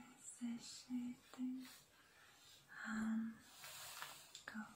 Guys, this shading um, go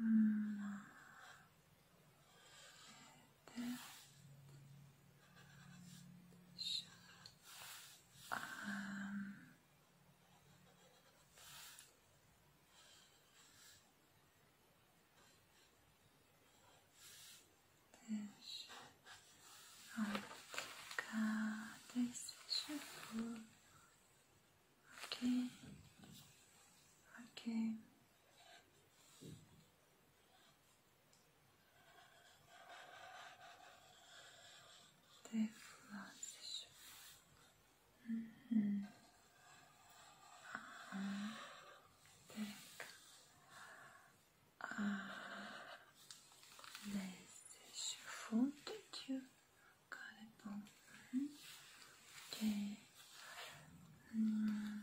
Um, też rąbka, to jest szyfur. Okej, okay. Okay. Teflas. Mm-hmm. Nesses fontu kalbon. Okay. Mm.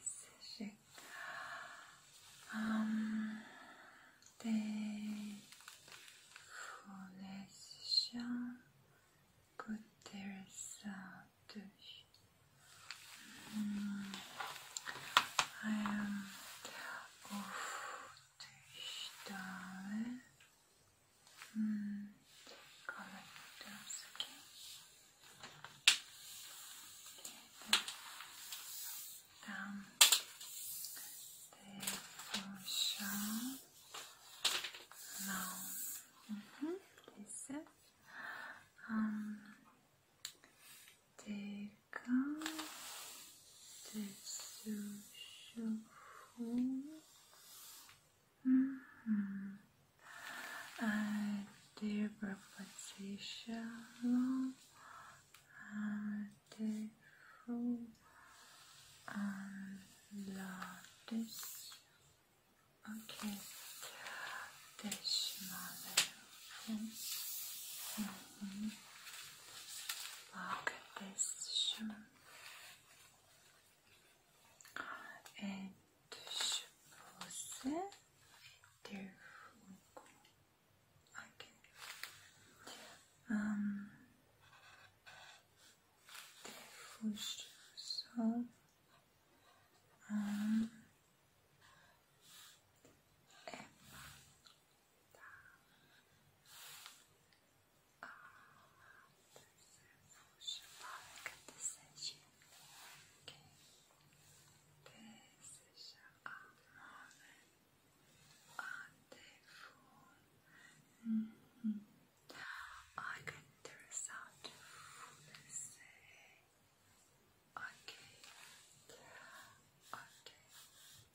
사실 um they foundation good there is mm, I am of Stahl mm, collectors, okay. okay down the show. Now, mm -hmm. this um, Deca mm -hmm. uh, Dear Patricia Long, uh, Dear um, Lotus. Okay, this mother. Mm-hmm. Look at this shimmer. And suppose okay. Um so um 是八个 decision，给 decision on on the phone. I get the result. Let's say okay,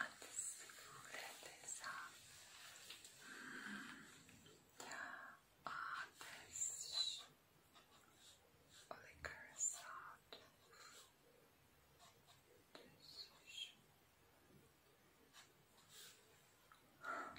Antes üretes ateş olikar saat düzüş Ak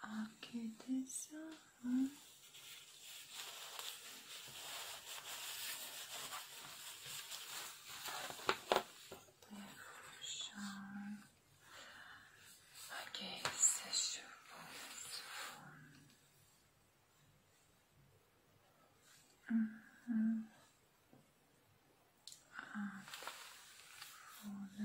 아케데사 응? Devotion. Okay, session mm -hmm. and for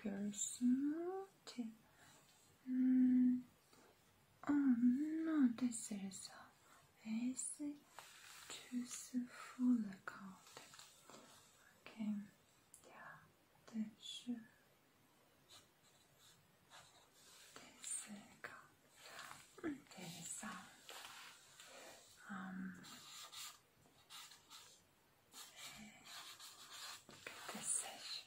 girls naughty. Mm. Oh no, this is a easy choose full account. Okay, yeah, this this account. This sound. Um. This session.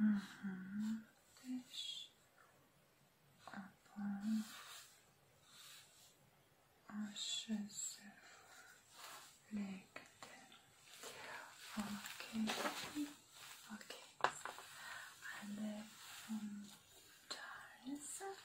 Mm -hmm. This upon ashes like that. Okay, okay, um, and then from Charles.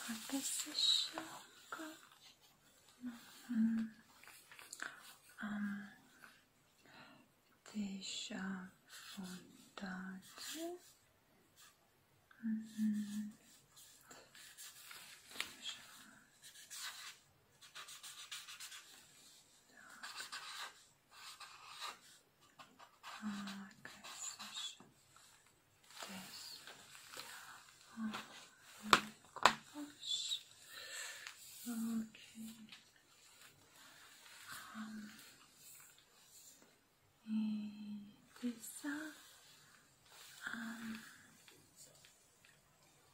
What is this show called? Mm -hmm. Um, deixa vontade. Mm -hmm. deixa. Arkadaşlar des konuş okay um this um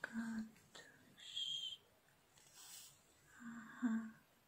kartuş aha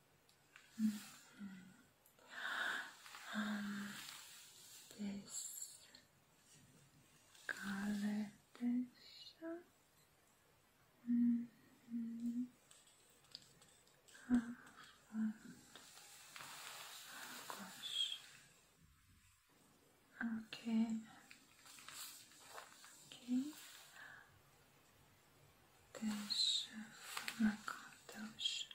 Mm-hmm. this color texture. Mm Okay. Okay też kogoś tam adresy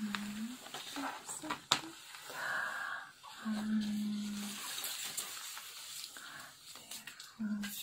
Defusz um, Defusz Defusz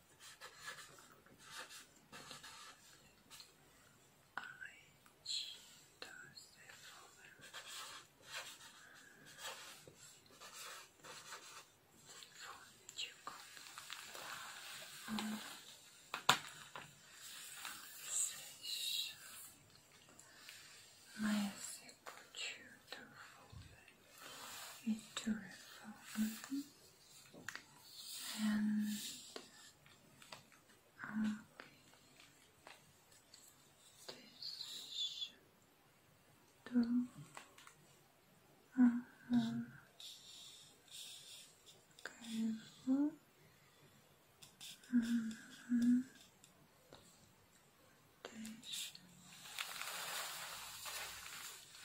Eins, da ist der Vogel. Von Jakob. Sześć. Ma język czudowny and um, this do uh careful. Uh -huh. This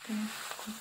this good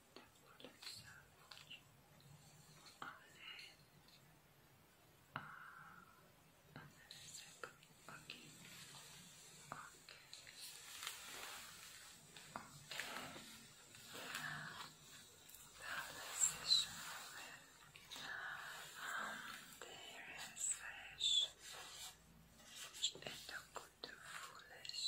Um, there is fish, and a good foolish.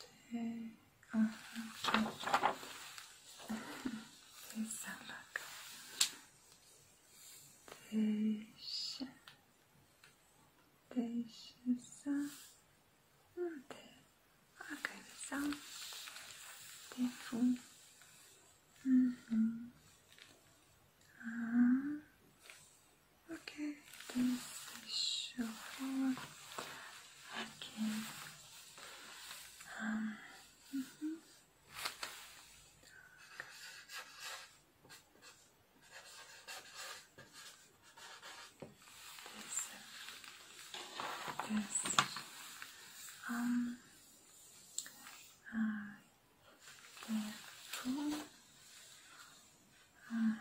two, uh -huh, okay. Teyzelak. Teş. Teşisa. Te. Akaysa. Tefu. Hı hı. Okay, this is short. Okay. Um, mm This. This. Um. Uh, the pool. Mm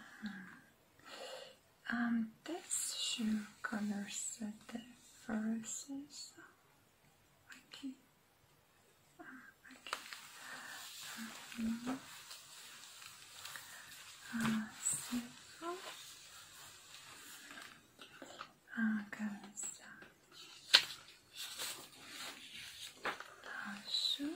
um, this shoe colors the verses. Okay. okay. Mm -hmm. uh, so, um, uh, colors. Uh, shoe.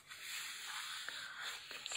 This is aqui.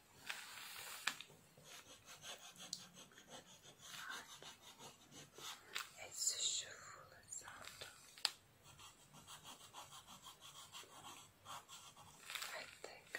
It's a shuffle sound. I think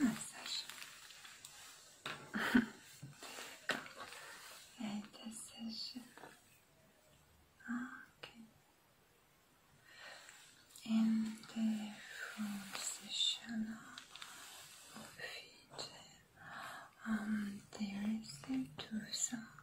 Ah, Sasha. yeah, Okay. In the full session of it, um, there is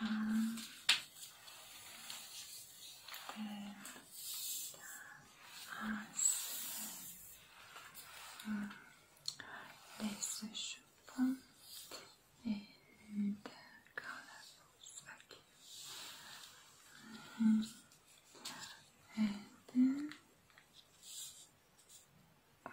Um, then as um, this shape and colorful specking. Mm And then all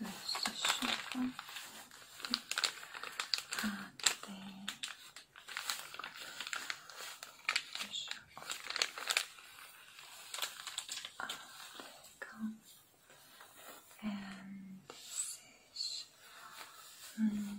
There's the And this is mm,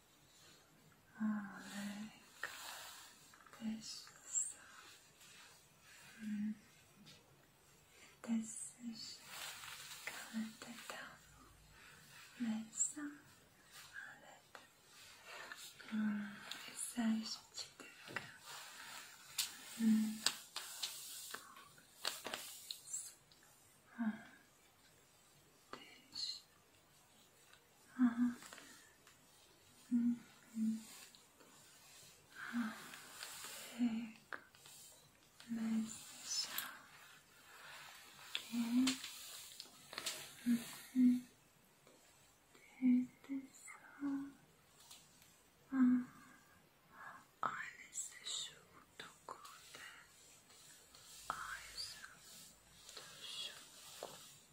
Oh, very good. This is mm. This is kalete tavu. Mesa alet. Mesaj çitika. This Ah. Mm -hmm. ah, big message. Okay. Mm -hmm. Beautiful. Ah. Ailesi şu dokuda. Ailesi şu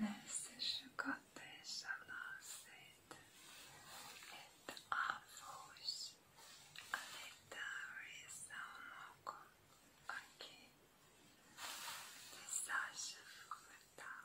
Nesişikatesha lasit et avus aletarisanoku aki desashivata.